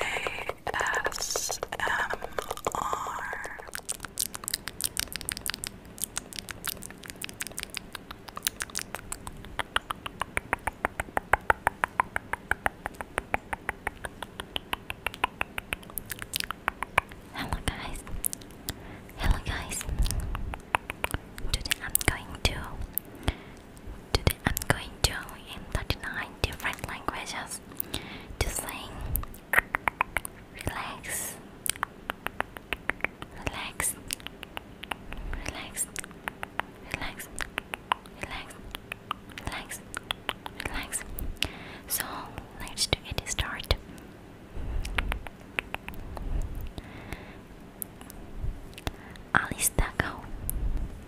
ASMR Hello guys. Hello guys. Today I'm going to Today I'm going to in 39 different languages to sing Relax Relax Relax Relax Relax Relax Relax So let's do it start Alice Taco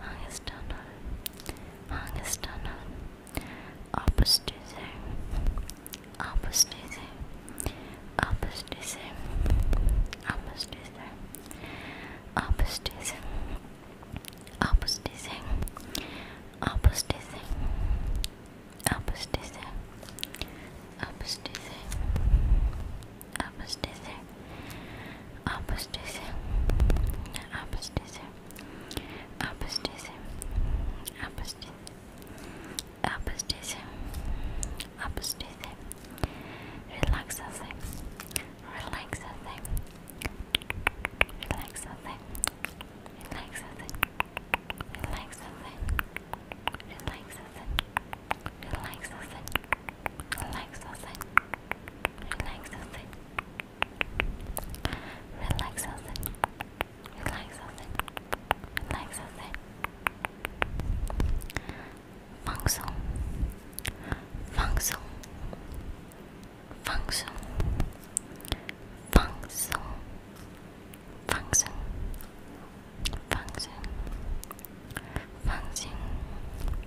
Hangest tunnel. Hangest tunnel. Opposite. Opposite. Opposite. Opposite. Opposite. Opposite. Opposite. Opposite. Opposite. Opposite. Apostasy. Apostasy. Apostasy. Apostasy. Apostasy. Apostasy. Apostasy. Relaxasy. Relaxasy. Relaxasy. Relaxasy. Relaxasy. Relaxasy. Relax us in. Relax us in. Relax us in. Relax us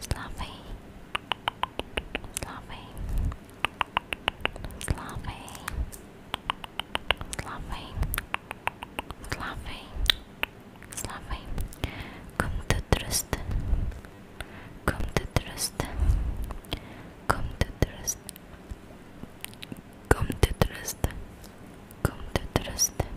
Sloppy, sloppy, sloppy, sloppy, sloppy, sloppy. Kom til trøsten, come to trust kom til trøsten, kom til trøsten, kom til trøsten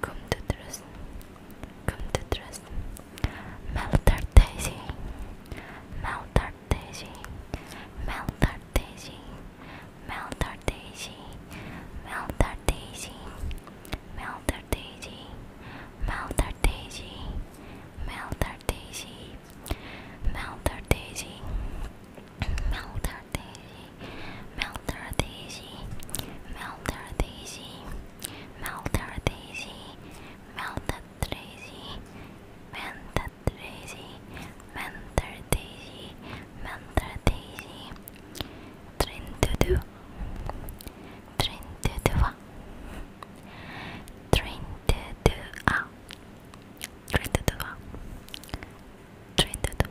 Come to trust, come to trust. Meltar Daisy, Meltar Daisy, Meltar Daisy, Meltar Daisy, Meltar Daisy, Meltar Daisy, Meltar Daisy, Meltar Daisy, Meltar Daisy, Meltar Daisy, Meltar Daisy, Meltar Daisy. Melter Daisy, Melted Daisy, Mented Daisy, Mentor Daisy, Mentor Daisy, Trin to do, Trin to do, Trin to do, Trin to do, Trin to do,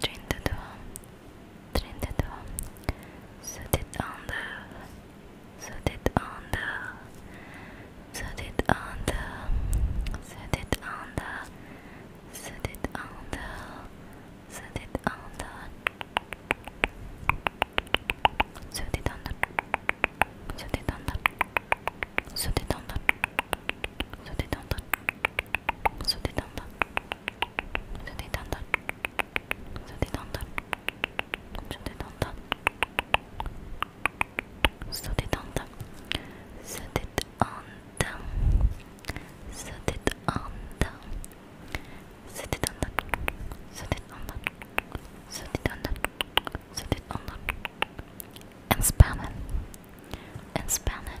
32 32 Set it on the Set it on the Set it on the Set it on the Set it on the Set it on the Set it on the Set it on the Set it on the Set it on the Set it on the Shut it down. Shut it down. Shut it down. Shut it down. And span it. And span it.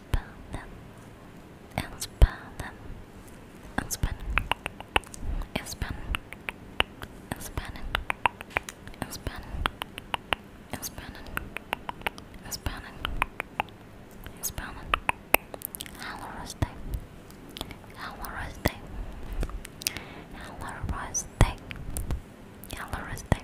spell them and spell them and spell and spell and spell and spell and spell and spell and spell Hello Day Hello Day Hello Day Hello Day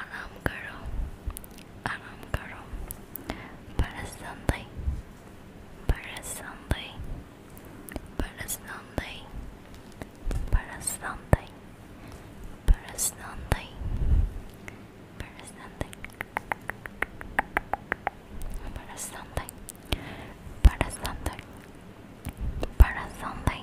आराम करो आराम करो Personally Personally Personally Personally Personally Personally para Sunday, para Sunday, para Sunday,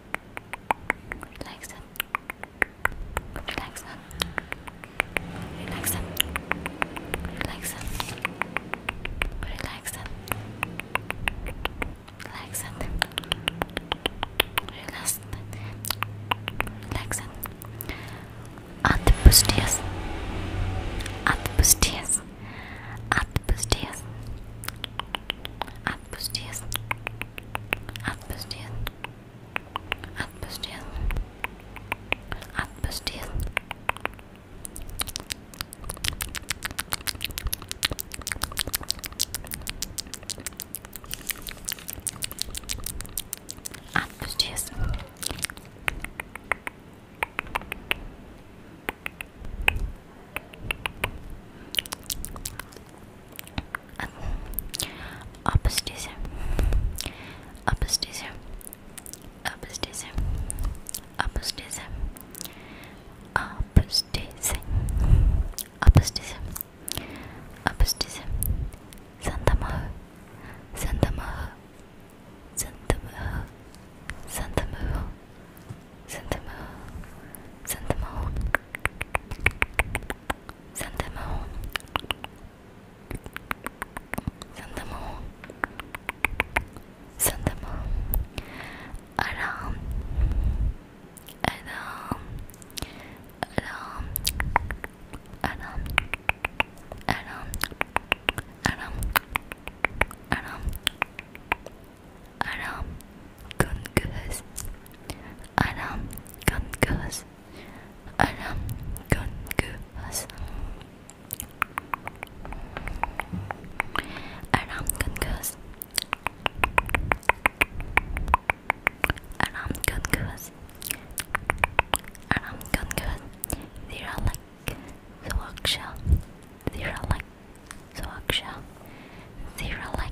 Relax them. Relax them. Relax them. Relax them. Relax them. Relax them. Relax them. Relax them. Atpusties. Atpusties. Atpusties отпусти, отпусти, отпусти, отпусти. Отпусти apostasy apostasy apostasy apostasy apostasy apostasy apostasy santa mahu santa mahu santa mahu santa mahu santa mahu santa mahu Send them home. Send them home. Send them home. Aram. Aram. Aram. Aram. Aram. Aram. Aram. Aram. Aram Gunguz Aram Gunguz Aram Gunguz Aram Gunguz Aram Gunguz Aram Gunguz Zira like Zoaksha Zira like Zoaksha Zira like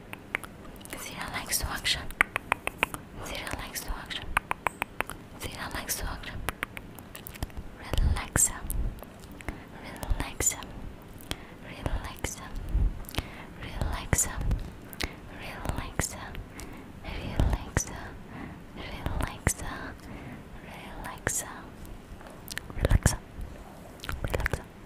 Zira likes to action. Zira likes to action. Zira likes to action. Relaxa. Relaxa. Relaxa. Relaxa. Relaxa. Relaxa. Relaxa. Relaxa. Relaxa. Relaxa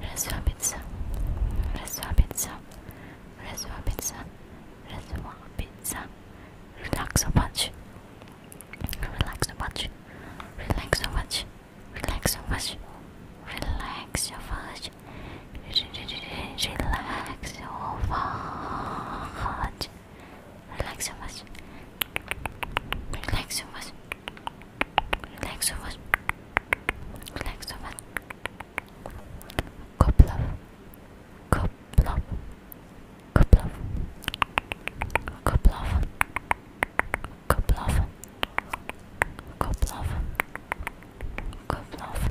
расслабиться, расслабиться, расслабиться, расслабиться. Relax so much. Relax so much. Relax so much. Relax so much. Relax so much. Relax so much. Relax so much. Relax so much. Relax over. Relax over. Couple of. Couple of. Couple of. Couple of. Couple of. Couple of. Couple of.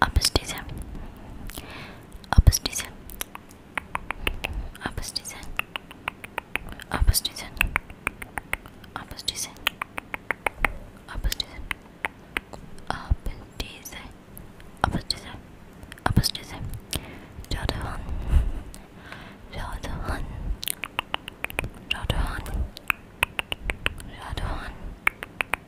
Apostasia. Apostasia. Apostasia. Apostasia. Apostasia. Apostasia. Apostasia. Apostasia. Apostasia. Jodohan. Jodohan. Jodohan. Jodohan.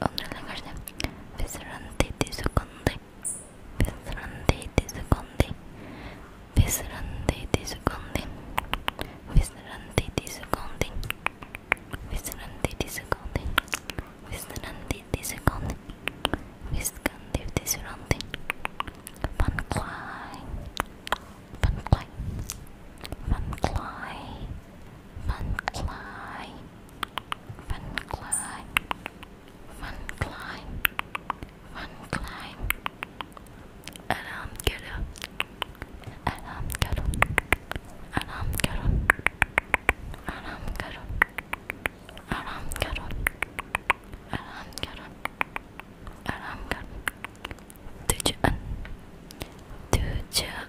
Onlarla karşı Fesran dedi sukundu Fesran dedi sukundu Fesran dedi sukundu Fesran dedi sukundu Fesran dedi Funcline, Funcline, Funcline, Funcline, Alarm Kettle, Alarm Kettle, Alarm Kettle, Alarm Kettle, Alarm Kettle, Alarm Kettle, Alarm Kettle, Tujuan, Tujuan.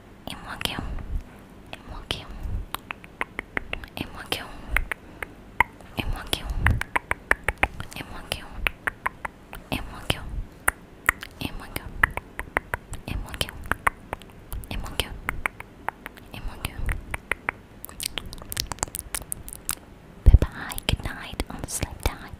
M1K1 M1K1 M1K1 M1K1 M1K1 M1K1 M1K1 M1K1 M1K1 M1K1 Bye bye, good night on sleep time.